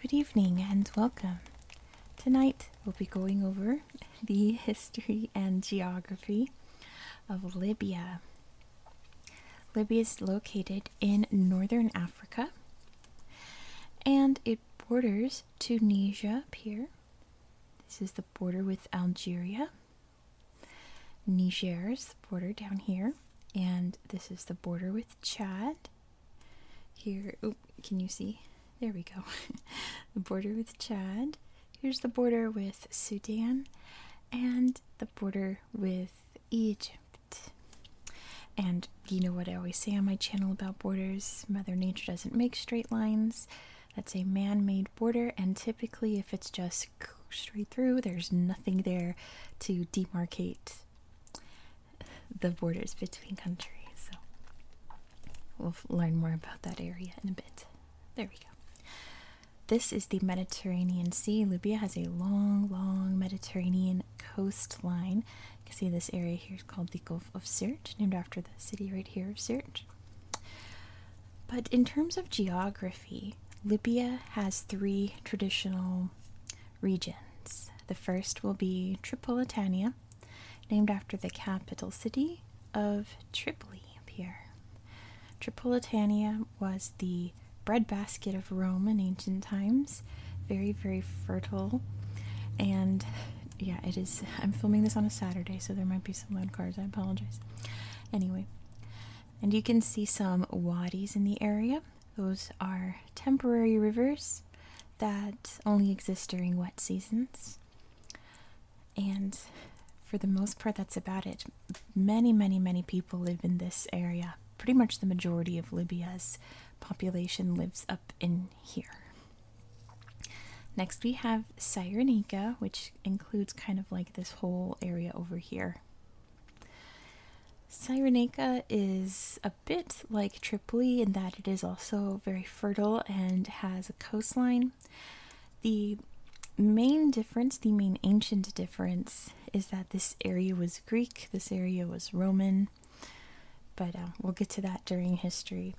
Good evening and welcome. Tonight we'll be going over the history and geography of Libya. Libya is located in northern Africa and it borders Tunisia here. This is the border with Algeria Niger's border down here, and this is the border with Chad. Here, can you see? There we go. the border with Chad. Here's the border with Sudan, and the border with Egypt. And you know what I always say on my channel about borders Mother Nature doesn't make straight lines. That's a man made border, and typically, if it's just straight through, there's nothing there to demarcate the borders between countries. So, we'll learn more about that area in a bit. There we go. This is the Mediterranean Sea. Libya has a long, long Mediterranean coastline. You can see this area here is called the Gulf of Sirte, named after the city right here of Sirte. But in terms of geography, Libya has three traditional regions. The first will be Tripolitania, named after the capital city of Tripoli up here. Tripolitania was the breadbasket of Rome in ancient times, very, very fertile. And yeah, it is. I'm filming this on a Saturday, so there might be some loud cars. I apologize. Anyway, and you can see some wadis in the area. Those are temporary rivers that only exist during wet seasons. And for the most part, that's about it. Many, many, many people live in this area. Pretty much the majority of Libya's population lives up in here. Next, we have Cyrenica, which includes kind of like this whole area over here. Cyrenaica is a bit like Tripoli in that it is also very fertile and has a coastline. The main difference, the main ancient difference, is that this area was Greek, this area was Roman, but um, we'll get to that during history.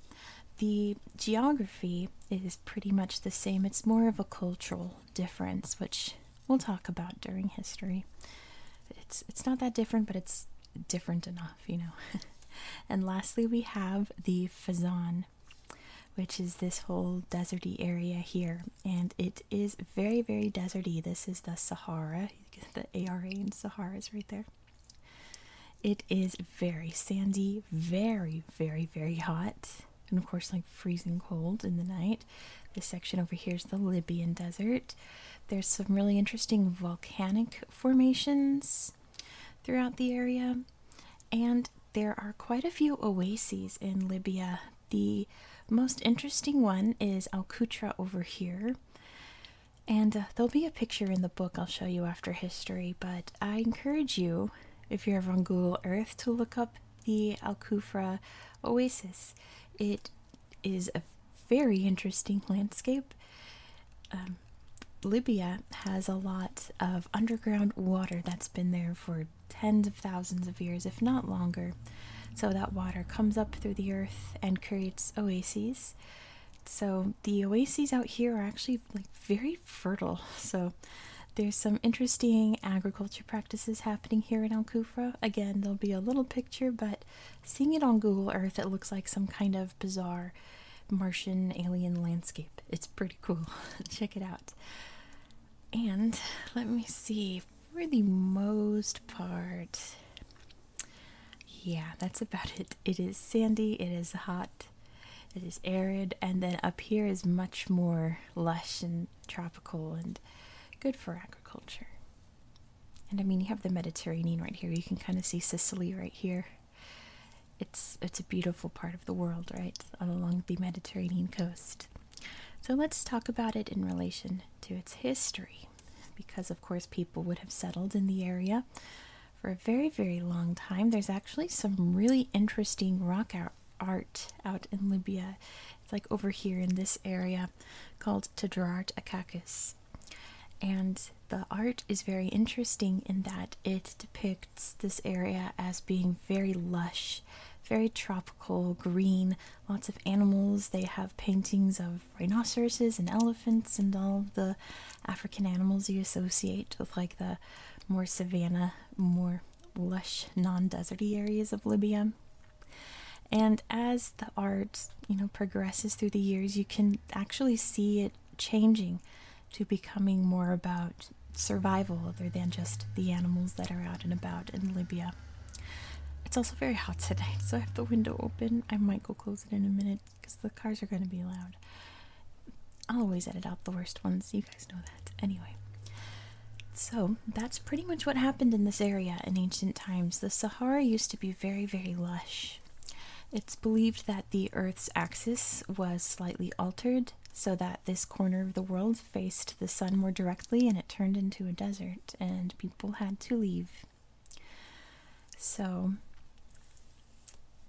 The geography is pretty much the same, it's more of a cultural difference, which we'll talk about during history. It's, it's not that different, but it's different enough, you know. and lastly, we have the Fazan, which is this whole deserty area here. And it is very, very deserty. This is the Sahara. The ARA in Sahara is right there. It is very sandy, very, very, very hot, and of course, like freezing cold in the night. This section over here is the Libyan desert. There's some really interesting volcanic formations throughout the area, and there are quite a few oases in Libya. The most interesting one is Al Kutra over here. And uh, there'll be a picture in the book I'll show you after history, but I encourage you if you're ever on Google Earth, to look up the Al Kufra Oasis. It is a very interesting landscape. Um, Libya has a lot of underground water that's been there for tens of thousands of years, if not longer. So that water comes up through the earth and creates oases. So the oases out here are actually like very fertile. So there's some interesting agriculture practices happening here in Al Kufra. Again, there'll be a little picture, but seeing it on Google Earth, it looks like some kind of bizarre Martian alien landscape. It's pretty cool. Check it out. And let me see, for the most part, yeah, that's about it. It is sandy, it is hot, it is arid, and then up here is much more lush and tropical and good for agriculture. And I mean, you have the Mediterranean right here. You can kind of see Sicily right here. It's it's a beautiful part of the world, right? Along the Mediterranean coast. So let's talk about it in relation to its history, because of course people would have settled in the area for a very, very long time. There's actually some really interesting rock art, out in Libya. It's like over here in this area called Tadrart Akakis. And the art is very interesting in that it depicts this area as being very lush, very tropical, green, lots of animals. They have paintings of rhinoceroses and elephants and all the African animals you associate with like the uh, more savanna, more lush, non-deserty areas of Libya. And as the art, you know, progresses through the years, you can actually see it changing to becoming more about survival other than just the animals that are out and about in Libya. It's also very hot today, so I have the window open. I might go close it in a minute because the cars are going to be loud. I'll always edit out the worst ones, you guys know that. Anyway, so that's pretty much what happened in this area in ancient times. The Sahara used to be very, very lush. It's believed that the Earth's axis was slightly altered so that this corner of the world faced the sun more directly and it turned into a desert, and people had to leave. So,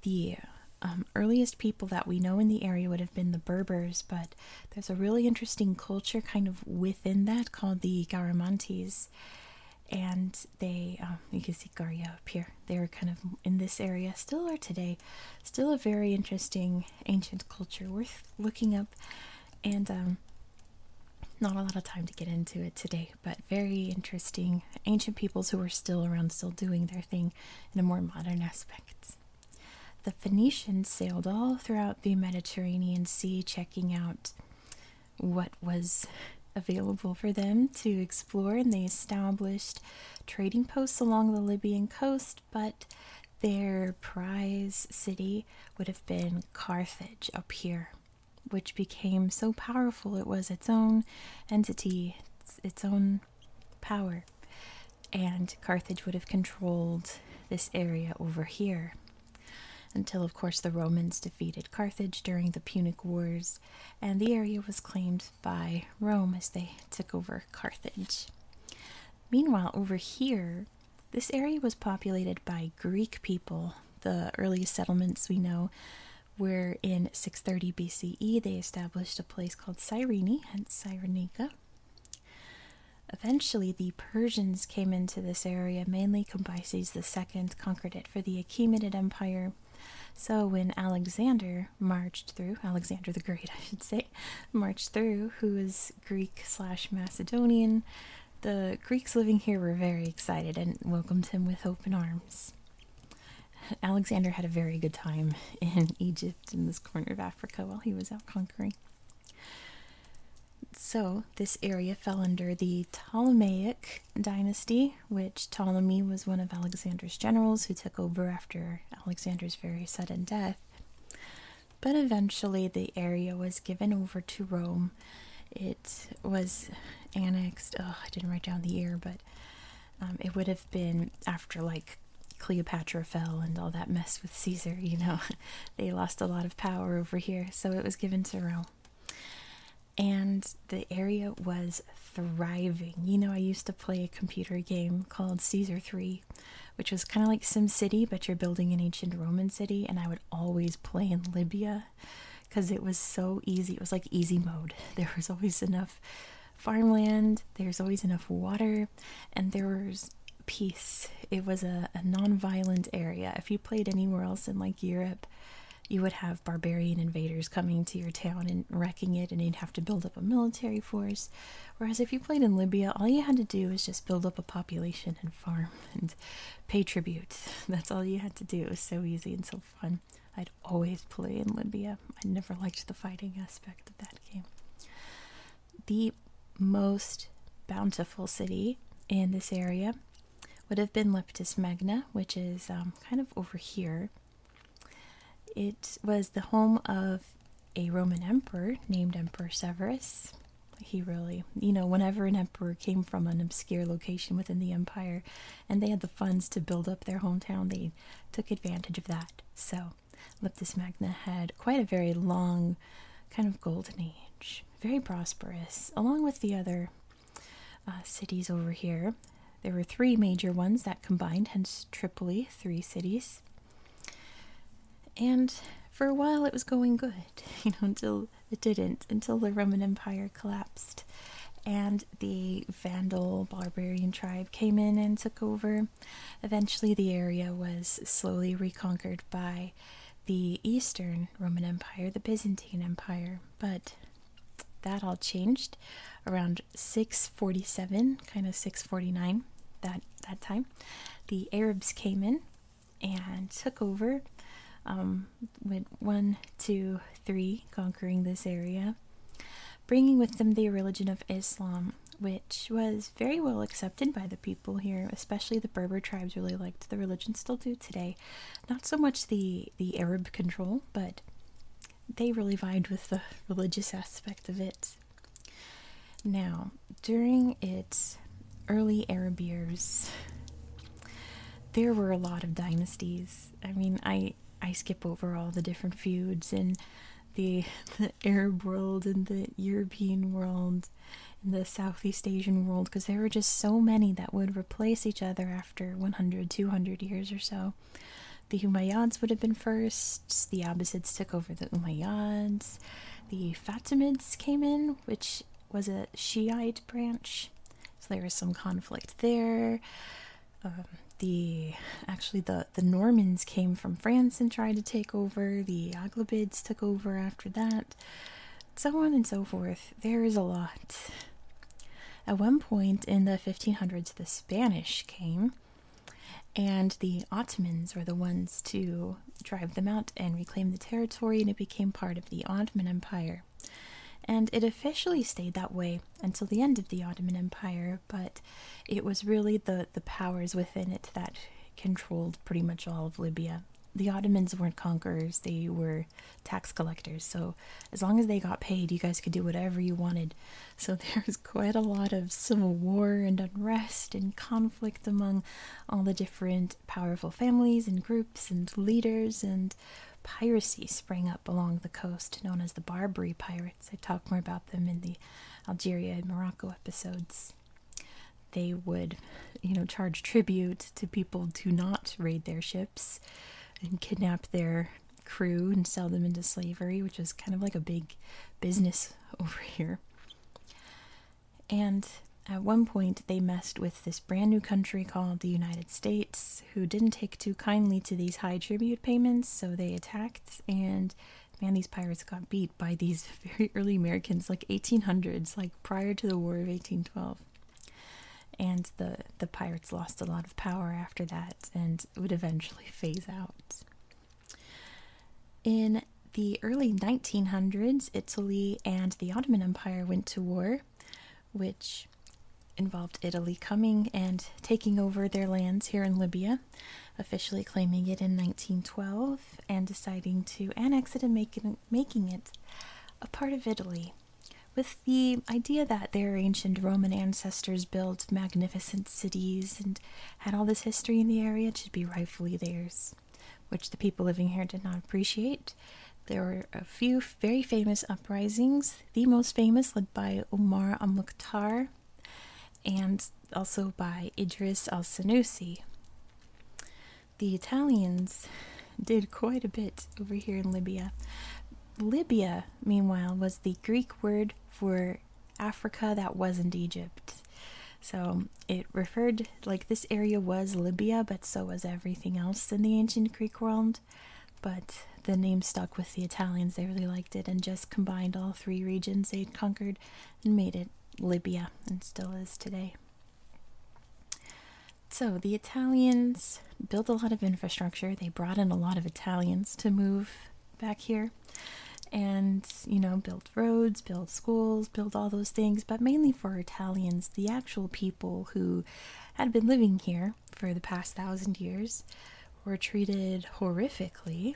the um, earliest people that we know in the area would have been the Berbers, but there's a really interesting culture kind of within that called the Garamantes. And they, um, you can see Garia up here, they are kind of in this area, still are today. Still a very interesting ancient culture worth looking up. And um, not a lot of time to get into it today, but very interesting ancient peoples who are still around, still doing their thing in a more modern aspect. The Phoenicians sailed all throughout the Mediterranean Sea, checking out what was available for them to explore, and they established trading posts along the Libyan coast, but their prize city would have been Carthage up here, which became so powerful it was its own entity, its own power, and Carthage would have controlled this area over here. Until, of course, the Romans defeated Carthage during the Punic Wars, and the area was claimed by Rome as they took over Carthage. Meanwhile, over here, this area was populated by Greek people. The earliest settlements we know where in 630 BCE they established a place called Cyrene, hence Cyrenica. Eventually, the Persians came into this area, mainly Cambyses II conquered it for the Achaemenid Empire. So, when Alexander marched through, Alexander the Great, I should say, marched through, who was Greek slash Macedonian, the Greeks living here were very excited and welcomed him with open arms. Alexander had a very good time in Egypt, in this corner of Africa, while he was out conquering. So, this area fell under the Ptolemaic dynasty, which Ptolemy was one of Alexander's generals who took over after Alexander's very sudden death. But eventually, the area was given over to Rome. It was annexed. I didn't write down the year, but um, it would have been after like Cleopatra fell and all that mess with Caesar, you know. they lost a lot of power over here, so it was given to Rome. And the area was thriving. You know, I used to play a computer game called Caesar 3, which was kind of like Sim City, but you're building an ancient Roman city, and I would always play in Libya because it was so easy. It was like easy mode. There was always enough farmland, there's always enough water, and there was peace. It was a, a non violent area. If you played anywhere else in like Europe, you would have barbarian invaders coming to your town and wrecking it, and you'd have to build up a military force. Whereas if you played in Libya, all you had to do was just build up a population and farm and pay tribute. That's all you had to do. It was so easy and so fun. I'd always play in Libya. I never liked the fighting aspect of that game. The most bountiful city in this area would have been Leptis Magna, which is um, kind of over here. It was the home of a Roman emperor named Emperor Severus. He really, you know, whenever an emperor came from an obscure location within the empire and they had the funds to build up their hometown, they took advantage of that. So, Leptis magna had quite a very long, kind of golden age, very prosperous, along with the other uh, cities over here. There were three major ones that combined, hence Tripoli, three cities. And for a while it was going good, you know, until it didn't, until the Roman Empire collapsed and the Vandal barbarian tribe came in and took over. Eventually, the area was slowly reconquered by the Eastern Roman Empire, the Byzantine Empire, but that all changed around 647, kind of 649. That that time, the Arabs came in and took over. Um, went one, two, three, conquering this area bringing with them the religion of Islam, which was very well accepted by the people here, especially the Berber tribes really liked the religion, still do today. Not so much the, the Arab control, but they really vied with the religious aspect of it. Now, during its early Arab years, there were a lot of dynasties I mean I I skip over all the different feuds in the the Arab world and the European world and the Southeast Asian world because there were just so many that would replace each other after 100 200 years or so. The Umayyads would have been first, the Abbasids took over the Umayyads, the Fatimids came in, which was a Shiite branch, so there was some conflict there. Um, the actually the the Normans came from France and tried to take over. The Aglabids took over after that, so on and so forth. There is a lot. At one point in the 1500s, the Spanish came, and the Ottomans were the ones to drive them out and reclaim the territory, and it became part of the Ottoman Empire. And it officially stayed that way until the end of the Ottoman Empire but it was really the, the powers within it that controlled pretty much all of Libya. The Ottomans weren't conquerors, they were tax collectors. So, as long as they got paid, you guys could do whatever you wanted. So, there was quite a lot of civil war and unrest and conflict among all the different powerful families and groups and leaders and piracy sprang up along the coast, known as the Barbary pirates. I talk more about them in the Algeria and Morocco episodes. They would, you know, charge tribute to people to not raid their ships and kidnap their crew and sell them into slavery, which was kind of like a big business over here. And at one point, they messed with this brand new country called the United States who didn't take too kindly to these high tribute payments, so they attacked. And man, these pirates got beat by these very early Americans, like 1800s, like prior to the War of 1812. And the the pirates lost a lot of power after that, and would eventually phase out. In the early 1900s, Italy and the Ottoman Empire went to war, which involved Italy coming and taking over their lands here in Libya, officially claiming it in 1912 and deciding to annex it and making it a part of Italy, with the idea that their ancient Roman ancestors built magnificent cities and had all this history in the area, it should be rightfully theirs, which the people living here did not appreciate. There were a few very famous uprisings the most famous, led by Omar al Mukhtar and also by Idris al Sanusi. The Italians did quite a bit over here in Libya. Libya, meanwhile, was the Greek word for Africa that wasn't Egypt. So it referred, like, this area was Libya, but so was everything else in the ancient Greek world but the name stuck with the Italians. They really liked it and just combined all three regions they'd conquered and made it Libya and still is today. So the Italians built a lot of infrastructure. They brought in a lot of Italians to move back here and, you know, built roads, built schools, built all those things, but mainly for Italians, the actual people who had been living here for the past thousand years were treated horrifically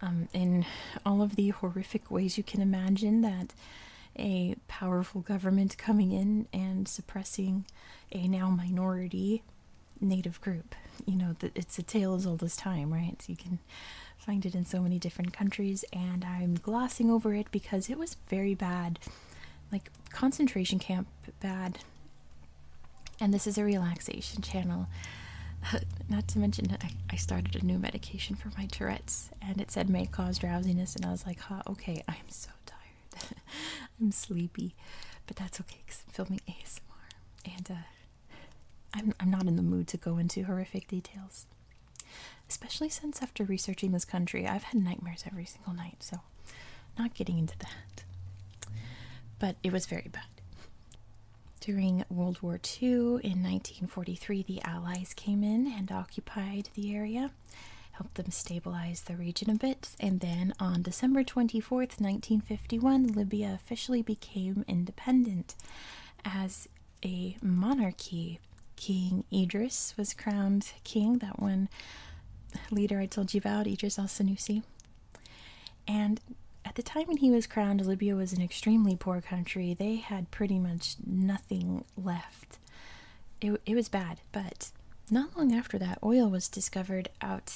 um, in all of the horrific ways you can imagine that a powerful government coming in and suppressing a now minority native group. You know, that it's a tale as old as time, right? You can find it in so many different countries, and I'm glossing over it because it was very bad. Like, concentration camp bad. And this is a relaxation channel. not to mention, I, started a new medication for my Tourette's, and it said may cause drowsiness, and I was like, "Ha, okay, I'm so tired, I'm sleepy, but that's okay because I'm filming ASMR, and uh, I'm I'm not in the mood to go into horrific details, especially since after researching this country, I've had nightmares every single night. So not getting into that. But it was very bad. During World War II in 1943, the Allies came in and occupied the area, helped them stabilize the region a bit, and then on December 24th, 1951, Libya officially became independent as a monarchy. King Idris was crowned king, that one leader I told you about, Idris al Sanusi. And at the time when he was crowned, Libya was an extremely poor country. They had pretty much nothing left. It, was bad, but not long after that, oil was discovered out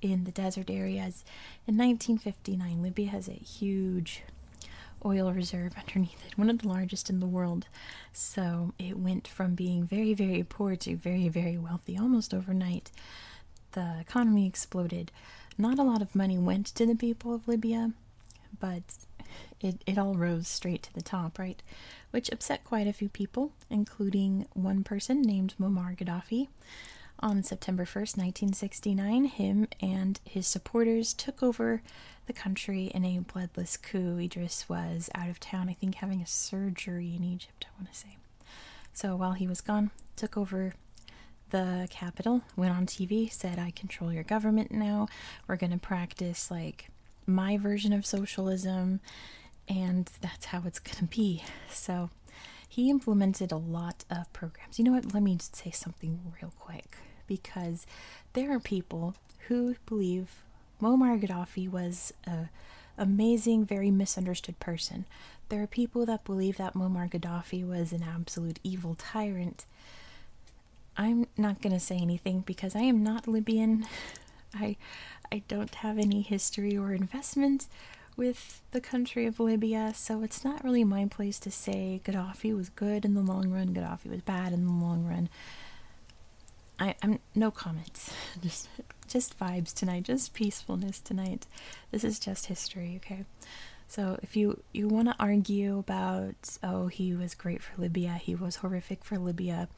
in the desert areas. In 1959, Libya has a huge oil reserve underneath it, one of the largest in the world. So it went from being very, very poor to very, very wealthy almost overnight. The economy exploded. Not a lot of money went to the people of Libya, but it, it all rose straight to the top, right? Which upset quite a few people, including one person named Muammar Gaddafi. On September 1st, 1969, him and his supporters took over the country in a bloodless coup. Idris was out of town, I think, having a surgery in I want to say. So while he was gone, took over the capital, went on TV, said, I control your government now. We're going to practice like my version of socialism, and that's how it's going to be. So he implemented a lot of programs. You know what? Let me just say something real quick because there are people who believe Muammar Gaddafi was an amazing, very misunderstood person. There are people that believe that Muammar Gaddafi was an absolute evil tyrant. I'm not going to say anything because I am not Libyan. I I don't have any history or investment with the country of Libya, so it's not really my place to say Gaddafi was good in the long run, Gaddafi was bad in the long run. I'm um, no comments. just just vibes tonight, just peacefulness tonight. This is just history, okay? So if you you want to argue about oh he was great for Libya, he was horrific for Libya,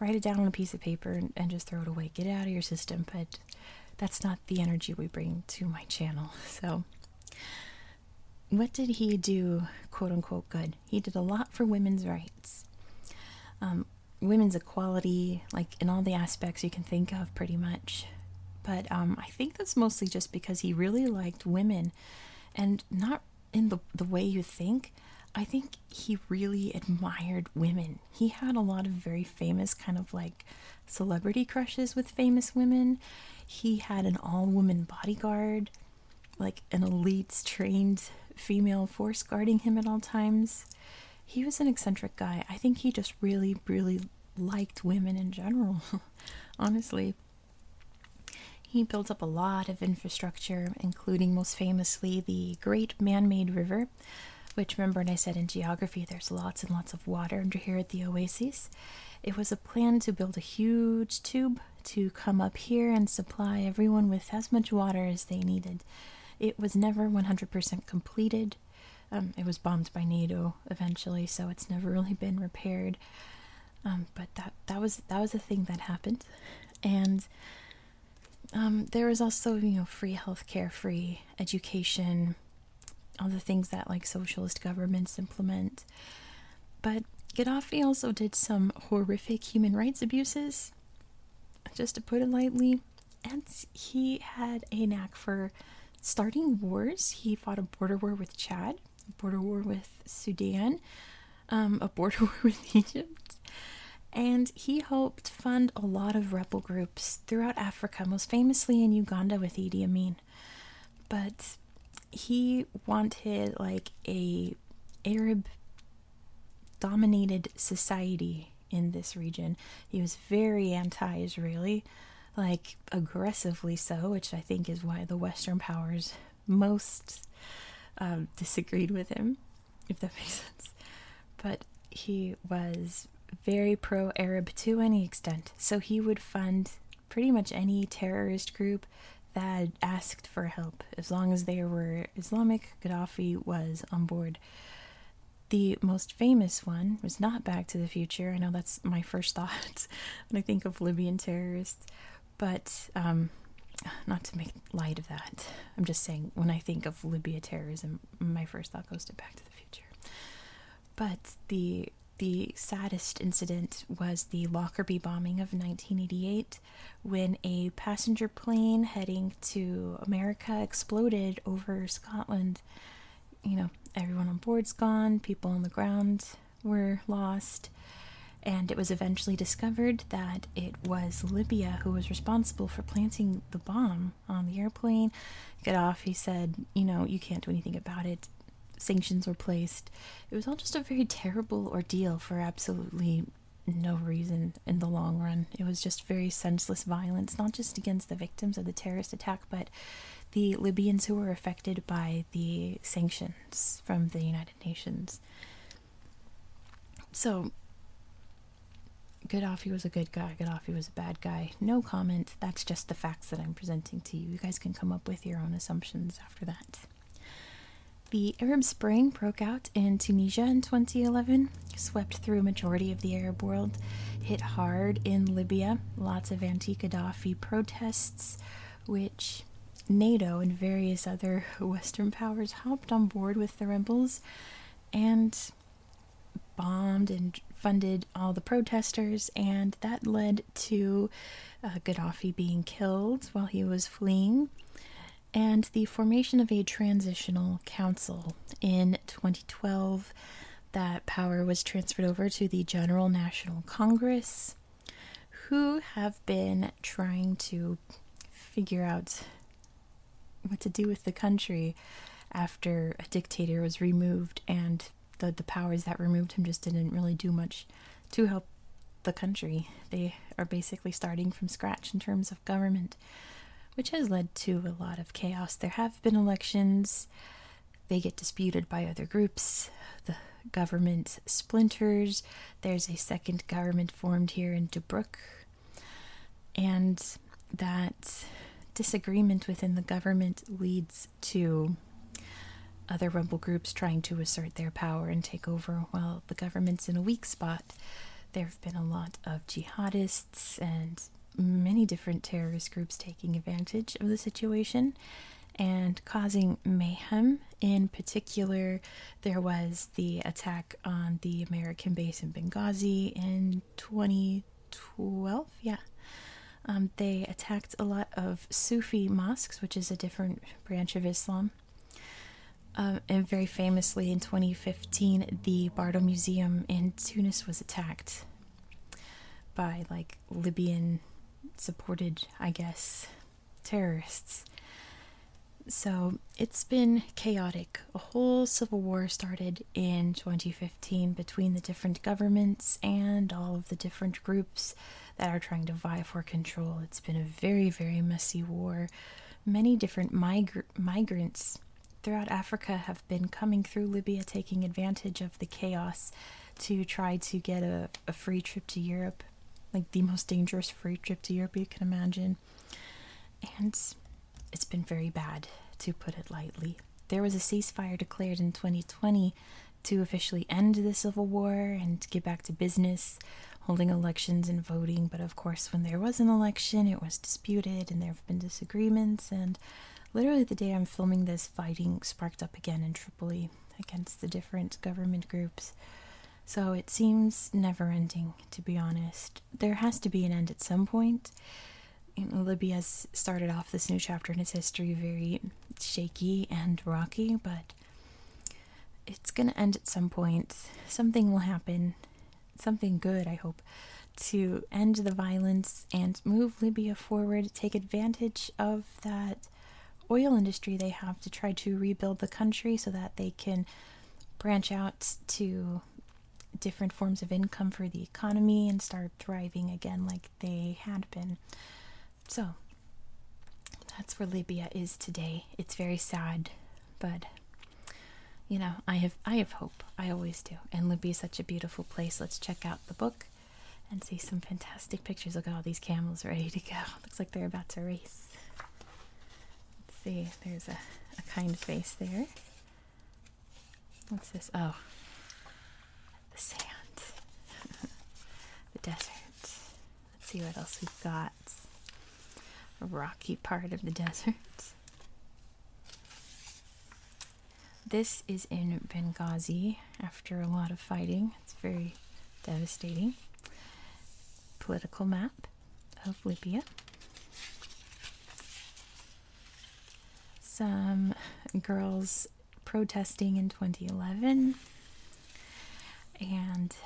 write it down on a piece of paper and, just throw it away. Get it out of your system, but that's not the energy we bring to my channel. So what did he do, quote unquote, good? He did a lot for women's rights. Um, women's equality, like in all the aspects you can think of, pretty much. But um, I think that's mostly just because he really liked women, and not in the the way you think. I think he really admired women. He had a lot of very famous kind of like celebrity crushes with famous women. He had an all-woman bodyguard, like an elite trained female force guarding him at all times he was an eccentric guy. I think he just really, really liked women in general, honestly. He built up a lot of infrastructure, including most famously the Great Man Made River, which remember when I said in geography there's lots and lots of water under here at the oasis. It was a plan to build a huge tube to come up here and supply everyone with as much water as they needed. It was never 100% completed. Um, it was bombed by NATO eventually, so it's never really been repaired. Um, but that that was that was a thing that happened, and um, there was also you know free healthcare, free education, all the things that like socialist governments implement. But Gaddafi also did some horrific human rights abuses, just to put it lightly and he had a knack for starting wars. He fought a border war with Chad, a border war with Sudan, um, a border war with Egypt, and he helped fund a lot of rebel groups throughout Africa, most famously in Uganda with Idi Amin. But he wanted like a Arab dominated society in this region. He was very anti Israeli, like aggressively so, which I think is why the Western powers most um, disagreed with him, if that makes sense. But he was very pro Arab to any extent, so he would fund pretty much any terrorist group that asked for help as long as they were Islamic, Gaddafi was on board. The most famous one was not Back to the Future. I know that's my first thought when I think of Libyan terrorists, but um, not to make light of that. I'm just saying when I think of Libya terrorism, my first thought goes to Back to the Future. But the the saddest incident was the Lockerbie bombing of 1988 when a passenger plane heading to America exploded over Scotland. You know, everyone on board's gone, people on the ground were lost, and it was eventually discovered that it was Libya who was responsible for planting the bomb on the airplane. Get off, he said, you know, you can't do anything about it. Sanctions were placed. It was all just a very terrible ordeal for absolutely no reason in the long run. It was just very senseless violence, not just against the victims of the terrorist attack, but the Libyans who were affected by the sanctions from the United Nations. So, Gaddafi was a good guy, Gaddafi was a bad guy. No comment, that's just the facts that I'm presenting to you. You guys can come up with your own assumptions after that. The Arab Spring broke out in Tunisia in 2011, swept through majority of the Arab world, hit hard in Libya, lots of anti-Gaddafi protests, which NATO and various other Western powers hopped on board with the rebels and bombed and funded all the protesters, and that led to uh, Gaddafi being killed while he was fleeing and the formation of a transitional council in 2012. That power was transferred over to the General National Congress, who have been trying to figure out what to do with the country after a dictator was removed and the, powers that removed him just didn't really do much to help the country. They are basically starting from scratch in terms of government, which has led to a lot of chaos. There have been elections, they get disputed by other groups, the government splinters, there's a second government formed here in Tobruk, and that disagreement within the government leads to other rebel groups trying to assert their power and take over while the government's in a weak spot there have been a lot of jihadists and many different terrorist groups taking advantage of the situation and causing mayhem. In particular, there was the attack on the American base in Benghazi in 2012. Yeah. Um, they attacked a lot of Sufi mosques, which is a different branch of Islam, um, and very famously in 2015, the Bardo Museum in Tunis was attacked by like Libyan supported, I guess, terrorists. So it's been chaotic. A whole civil war started in 2015 between the different governments and all of the different groups that are trying to vie for control. It's been a very, very messy war many different migrants throughout Africa have been coming through Libya, taking advantage of the chaos to try to get a free trip to Europe, like the most dangerous free trip to Europe you can imagine. And it's been very bad, to put it lightly. There was a ceasefire declared in 2020 to officially end the civil war and get back to business holding elections and voting, but of course, when there was an election, it was disputed and there have been disagreements. And literally, the day I'm filming this, fighting sparked up again in Tripoli against the different government groups. So it seems never ending, to be honest. There has to be an end at some point. Libya has started off this new chapter in its history very shaky and rocky, but it's going to end at some point. Something will happen something good, I hope, to end the violence and move Libya forward, take advantage of that oil industry they have to try to rebuild the country so that they can branch out to different forms of income for the economy and start thriving again like they had been. So that's where Libya is today. It's very sad but you know i have i have hope i always do and libby is such a beautiful place let's check out the book and see some fantastic pictures look at all these camels ready to go looks like they're about to race let's see there's a, a kind face there what's this oh the sand the desert let's see what else we've got rocky part of the desert. This is in Benghazi after a lot of fighting. It's very devastating. Political map of Libya. Some girls protesting in 2011. And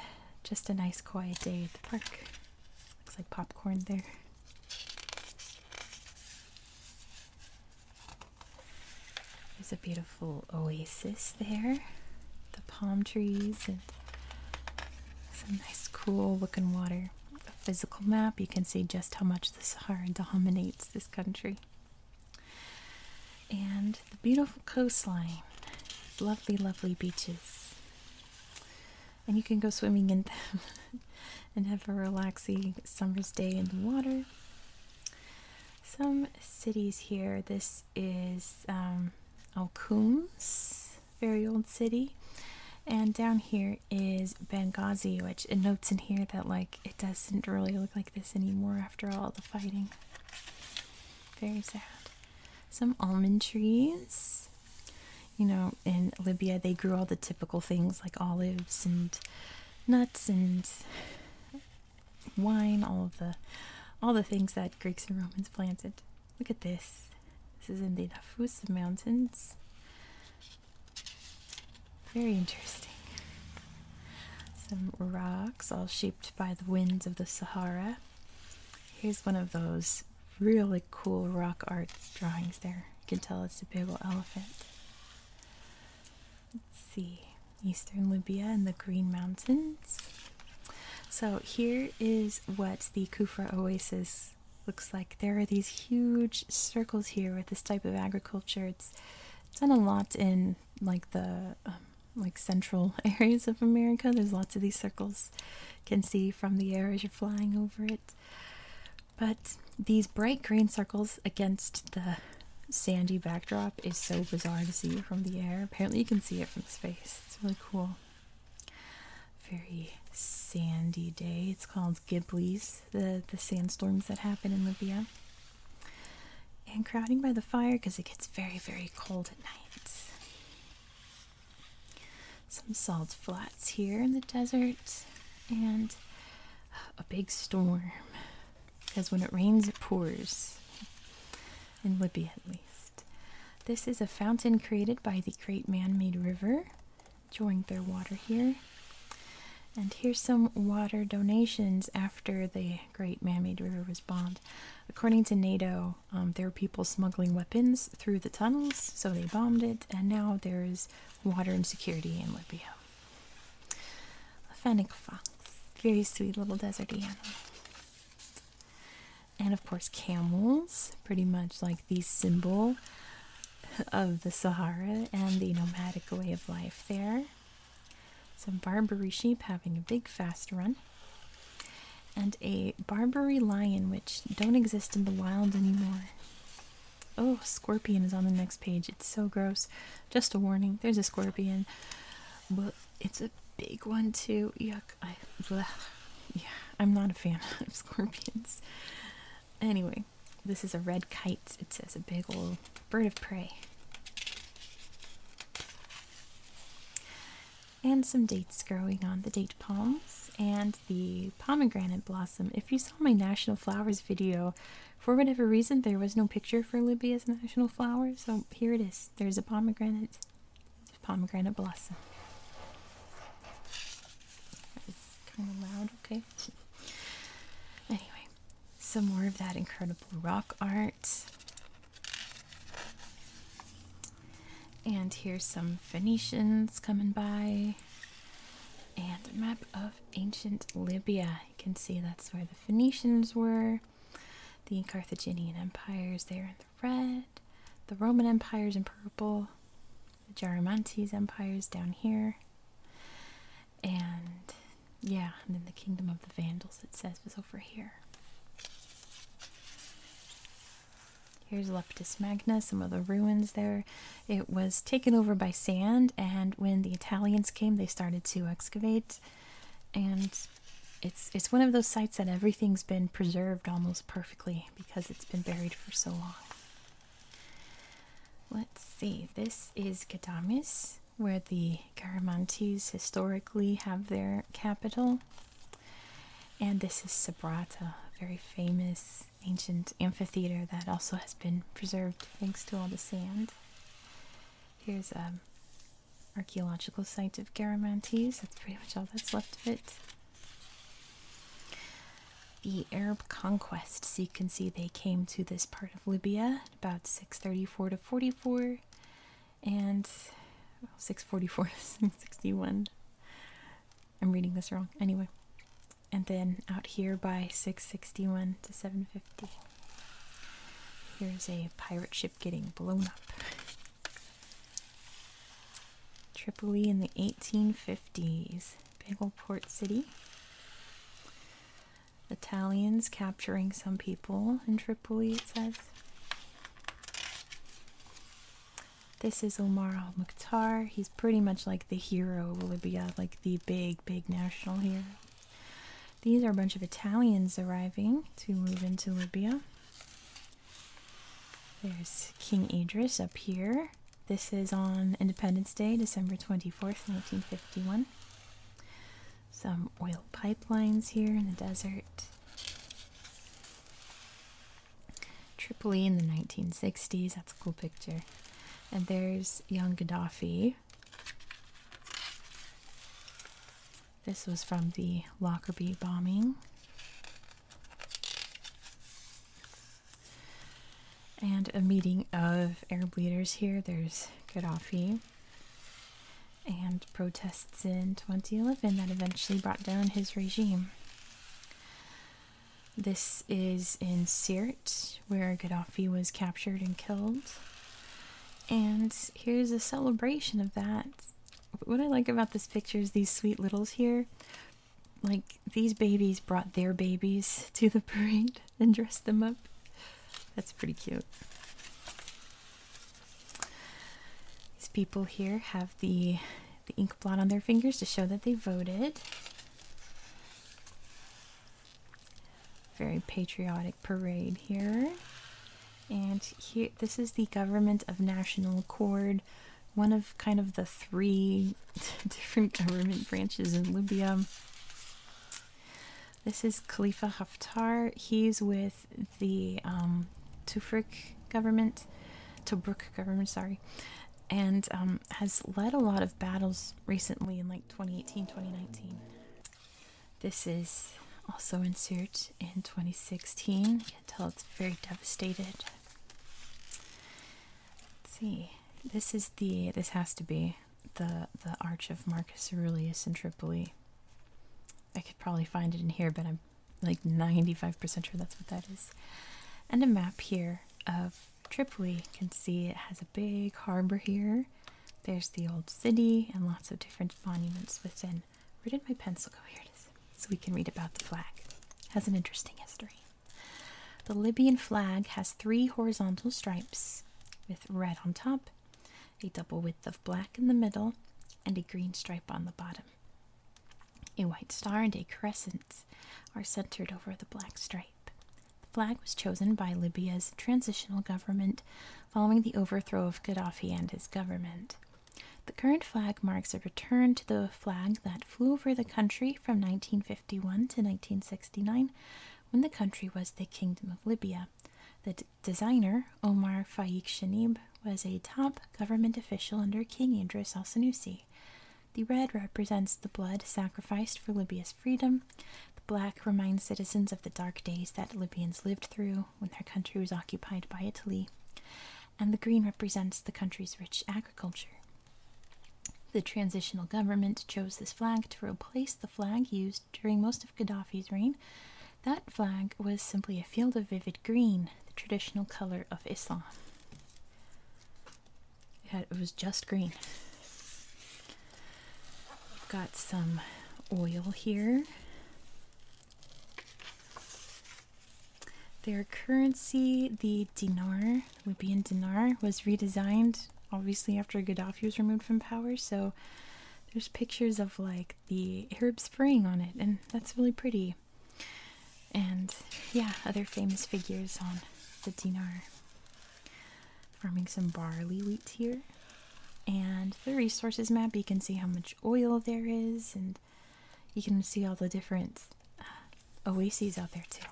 just a nice quiet day at the park. Looks like popcorn there. There's a beautiful oasis there. The palm trees and some nice cool looking water. A physical map, you can see just how much the Sahara dominates this country. And the beautiful coastline, lovely, lovely beaches and you can go swimming in them and have a relaxing summer's day in the water. Some cities here. This is um, very old city. And down here is Benghazi, which it notes in here that like it doesn't really look like this anymore after all the fighting. Very sad some almond trees. You know, in Libya, they grew all the typical things like olives and nuts and wine, all of the all the things that Greeks and Romans planted. Look at this. This is in the Nafusa Mountains. Very interesting. Some rocks all shaped by the winds of the Sahara. Here's one of those really cool rock art drawings there. You can tell it's a big old elephant. Let's see. Eastern Libya and the Green Mountains. So here is what the Kufra Oasis looks like. There are these huge circles here with this type of agriculture. It's done a lot in like the um, like central areas of America. There's lots of these circles can see from the air as you're flying over it. But these bright green circles against the sandy backdrop is so bizarre to see from the air. Apparently, you can see it from space. It's really cool. Very sandy day. It's called Ghibli's, the, the sandstorms that happen in Libya. And crowding by the fire because it gets very, very cold at night some salt flats here in the desert, and a big storm. Because when it rains, it pours. In Libya, at least. This is a fountain created by the great man made river, drawing their water here. And here's some water donations after the great man made river was bombed. According to NATO, um, there are people smuggling weapons through the tunnels, so they bombed it, and now there is water insecurity in Libya. A fennec fox, very sweet little desert animal. And of course, camels, pretty much like the symbol of the Sahara and the nomadic way of life there. Some Barbary sheep having a big fast run and a Barbary lion, which don't exist in the wild anymore. Oh, scorpion is on the next page. It's so gross. Just a warning there's a scorpion, but it's a big one too. Yuck. I, bleh. Yeah, I'm not a fan of scorpions. Anyway, this is a red kite. It says a big old bird of prey and some dates growing on the date palms and the pomegranate blossom. If you saw my national flowers video, for whatever reason, there was no picture for Libya's national flower, so here it is. There's a pomegranate, pomegranate blossom. It's kind of loud, okay. Anyway, some more of that incredible rock art. And here's some Phoenicians coming by. And a map of ancient Libya. You can see that's where the Phoenicians were. The Carthaginian Empire's there in the red. The Roman Empire's in purple. The Garamantes Empire's down here. And yeah, and then the Kingdom of the Vandals, it says, was over here. Here's Leptis Magna, some of the ruins there. It was taken over by sand, and when the Italians came, they started to excavate. And it's it's one of those sites that everything's been preserved almost perfectly because it's been buried for so long. Let's see. This is Gadamis, where the Garamantes historically have their capital. And this is Sabrata, a very famous ancient amphitheater that also has been preserved thanks to all the sand. Here's an archaeological site of Garamantes, that's pretty much all that's left of it. The Arab conquest, so you can see they came to this part of Libya about 634 to 44 and 644 661 i'm reading this wrong anyway and then out here by 661 to 750 here's a pirate ship getting blown up tripoli in the 1850s big old port city italians capturing some people in tripoli it says this is Omar al Mukhtar. He's pretty much like the hero of Libya, like the big, big national hero. These are a bunch of Italians arriving to move into Libya. There's King Idris up here. This is on Independence Day, December 24th, 1951. Some oil pipelines here in the desert. Tripoli in the 1960s. That's a cool picture. And there's young Gaddafi. This was from the Lockerbie bombing. And a meeting of Arab leaders here. There's Gaddafi and protests in 2011 that eventually brought down his regime. This is in Sirte, where Gaddafi was captured and killed. And here's a celebration of that. What I like about this picture is these sweet littles here. Like, these babies brought their babies to the parade and dressed them up. That's pretty cute. These people here have the the ink blot on their fingers to show that they voted. Very patriotic parade here. And here this is the government of national accord, one of kind of the three different government branches in Libya. This is Khalifa Haftar. He's with the um, Tufrik government, Tobruk government, sorry, and um, has led a lot of battles recently in like 2018, 2019. This is also in Sirte in 2016. You can tell it's very devastated. Let's see. This is the this has to be the the Arch of Marcus Aurelius in Tripoli. I could probably find it in here, but I'm like 95% sure that's what that is. And a map here of Tripoli. You can see it has a big harbor here. There's the old city and lots of different monuments within. Where did my pencil go? Here it is. So we can read about the flag. has an interesting history. The Libyan flag has three horizontal stripes with red on top, a double width of black in the middle, and a green stripe on the bottom. A white star and a crescent are centered over the black stripe. The flag was chosen by Libya's transitional government following the overthrow of Gaddafi and his government. The current flag marks a return to the flag that flew over the country from 1951 to 1969 when the country was the Kingdom of Libya. The designer, Omar Fayek Shanib, was a top government official under King Andros al Sanusi. The red represents the blood sacrificed for Libya's freedom. The black reminds citizens of the dark days that Libyans lived through when their country was occupied by Italy. And the green represents the country's rich agriculture. The transitional government chose this flag to replace the flag used during most of Gaddafi's reign that flag was simply a field of vivid green, the traditional color of Islam. It, was just green. We've got some oil here. Their currency, the dinar, would be in dinar, was redesigned obviously after Gaddafi was removed from power. So there's pictures of like the Arab Spring on it, and that's really pretty. And yeah, other famous figures on the dinar. Farming some barley wheat here. And the resources map, you can see how much oil there is, and you can see all the different uh, oases out there too.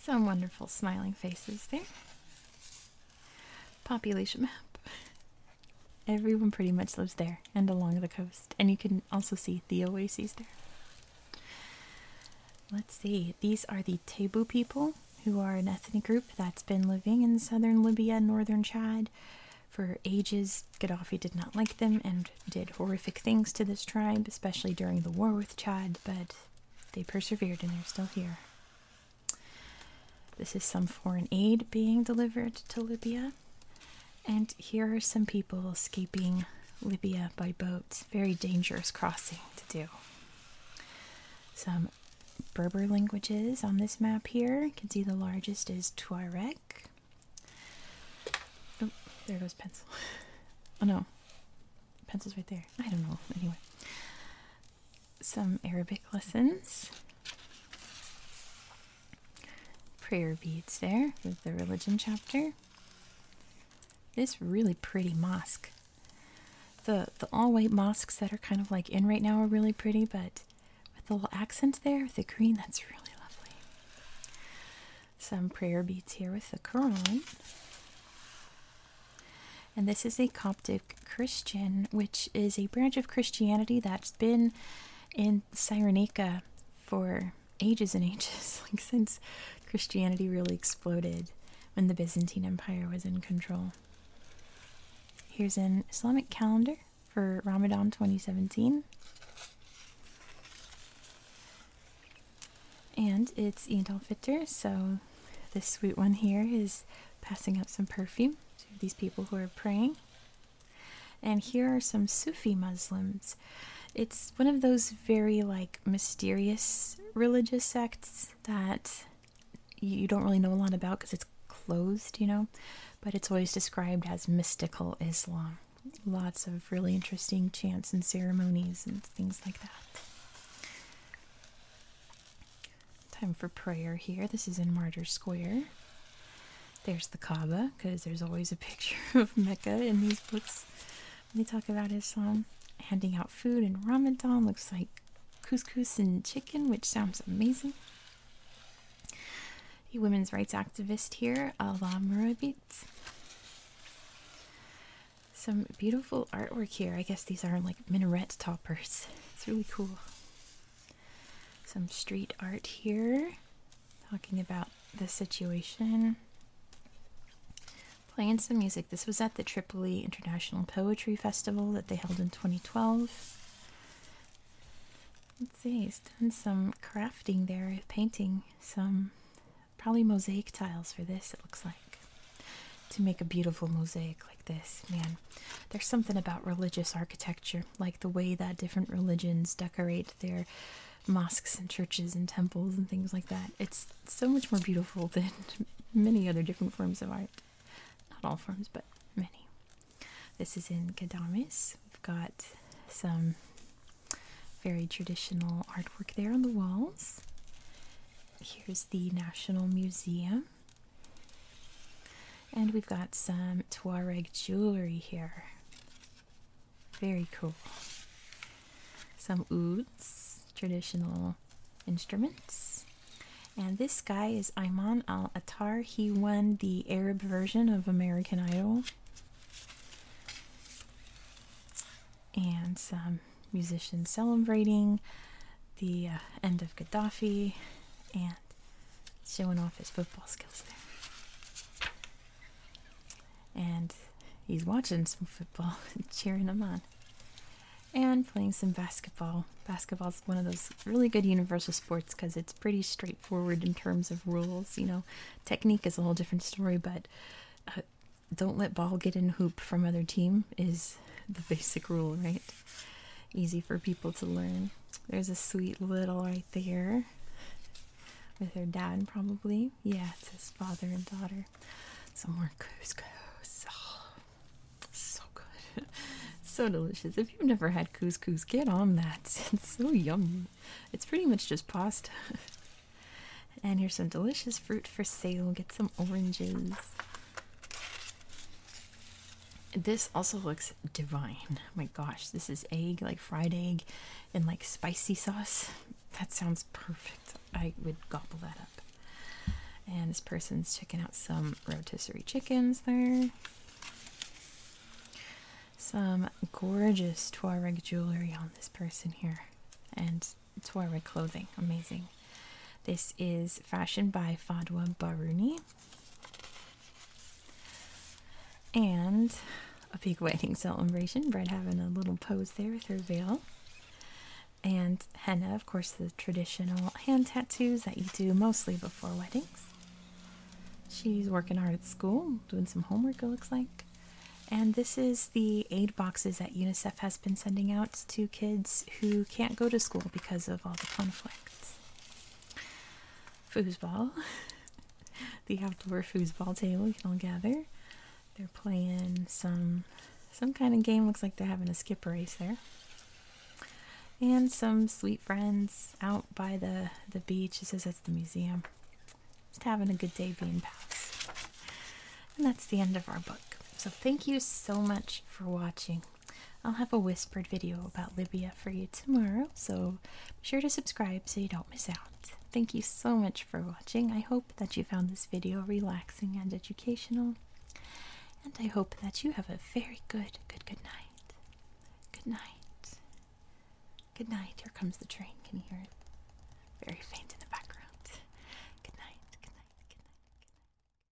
Some wonderful smiling faces there population map. Everyone pretty much lives there and along the coast, and you can also see the oases there. Let's see, these are the Tebu people, who are an ethnic group that's been living in southern Libya and northern Chad for ages. Gaddafi did not like them and did horrific things to this tribe, especially during the war with Chad, but they persevered and they're still here. This is some foreign aid being delivered to Libya. And here are some people escaping Libya by boat. Very dangerous crossing to do. Some Berber languages on this map here. You can see the largest is Tuareg. Oh, there goes pencil. Oh no, pencil's right there. I don't know. Anyway, some Arabic lessons. Prayer beads there with the religion chapter. This really pretty mosque. The the all-white mosques that are kind of like in right now are really pretty, but with a little accent there with the green, that's really lovely. Some prayer beads here with the Quran. And this is a Coptic Christian, which is a branch of Christianity that's been in Cyrenaica for ages and ages, like since Christianity really exploded when the Byzantine Empire was in control. Here's an Islamic calendar for Ramadan 2017. And it's Eid Fitter. so this sweet one here is passing out some perfume these people who are praying. And here are some Sufi Muslims. It's one of those very like mysterious religious sects that you don't really know a lot about because it's closed, you know, but it's always described as mystical Islam. Lots of really interesting chants and ceremonies and things like that. Time for prayer here. This is in Martyr Square. There's the Kaaba, because there's always a picture of Mecca in these books. When they talk about Islam, handing out food in Ramadan looks like couscous and chicken, which sounds amazing. A women's rights activist here, Allah Murabit. Some beautiful artwork here. I guess these are like minaret toppers. It's really cool. Some street art here, talking about the situation. Playing some music. This was at the Tripoli International Poetry Festival that they held in 2012. Let's see, he's done some crafting there, painting some probably mosaic tiles for this, it looks like, to make a beautiful mosaic this, man. There's something about religious architecture, like the way that different religions decorate their mosques and churches and temples and things like that. It's so much more beautiful than many other different forms of art. Not all forms, but many. This is in Gadames. We've got some very traditional artwork there on the walls. Here's the National Museum. And we've got some Tuareg jewelry here. Very cool. Some ouds, traditional instruments. And this guy is Ayman Al Attar. He won the Arab version of American Idol. And some musicians celebrating the uh, end of Gaddafi and showing off his football skills there. And he's watching some football, cheering him on, and playing some basketball. Basketball's one of those really good universal sports because it's pretty straightforward in terms of rules. You know, technique is a whole different story, but uh, don't let ball get in hoop from other team is the basic rule, right? easy for people to learn. There's a sweet little right there with her dad, probably. Yeah, it's his father and daughter. Some more couscous. Oh, so good. so delicious. If you've never had couscous, get on that. It's so yummy. It's pretty much just pasta. and here's some delicious fruit for sale. Get some oranges. This also looks divine. my gosh, this is egg, like fried egg in like spicy sauce. That sounds perfect. I would gobble that up. And this person's checking out some rotisserie chickens there. Some gorgeous Tuareg jewelry on this person here. And Tuareg clothing. Amazing. This is fashioned by Fadwa Baruni. And a big wedding celebration. Brett having a little pose there with her veil. And henna, of course, the traditional hand tattoos that you do mostly before weddings. She's working hard at school, doing some homework, it looks like. And this is the aid boxes that UNICEF has been sending out to kids who can't go to school because of all the conflict conflicts. Foosball. the outdoor foosball table you can all gather. They're playing some some kind of game. Looks like they're having a skip race there. And some sweet friends out by the, the beach. It says that's the museum. Just having a good day being pals. And that's the end of our book. So thank you so much for watching. I'll have a whispered video about Libya for you tomorrow, so be sure to subscribe so you don't miss out. Thank you so much for watching. I hope that you found this video relaxing and educational, and I hope that you have a very good, good, good night. Good night. Good night. Here comes the train. Can you hear it? Very faint in the background. Good night. Good night. Good night. Good night.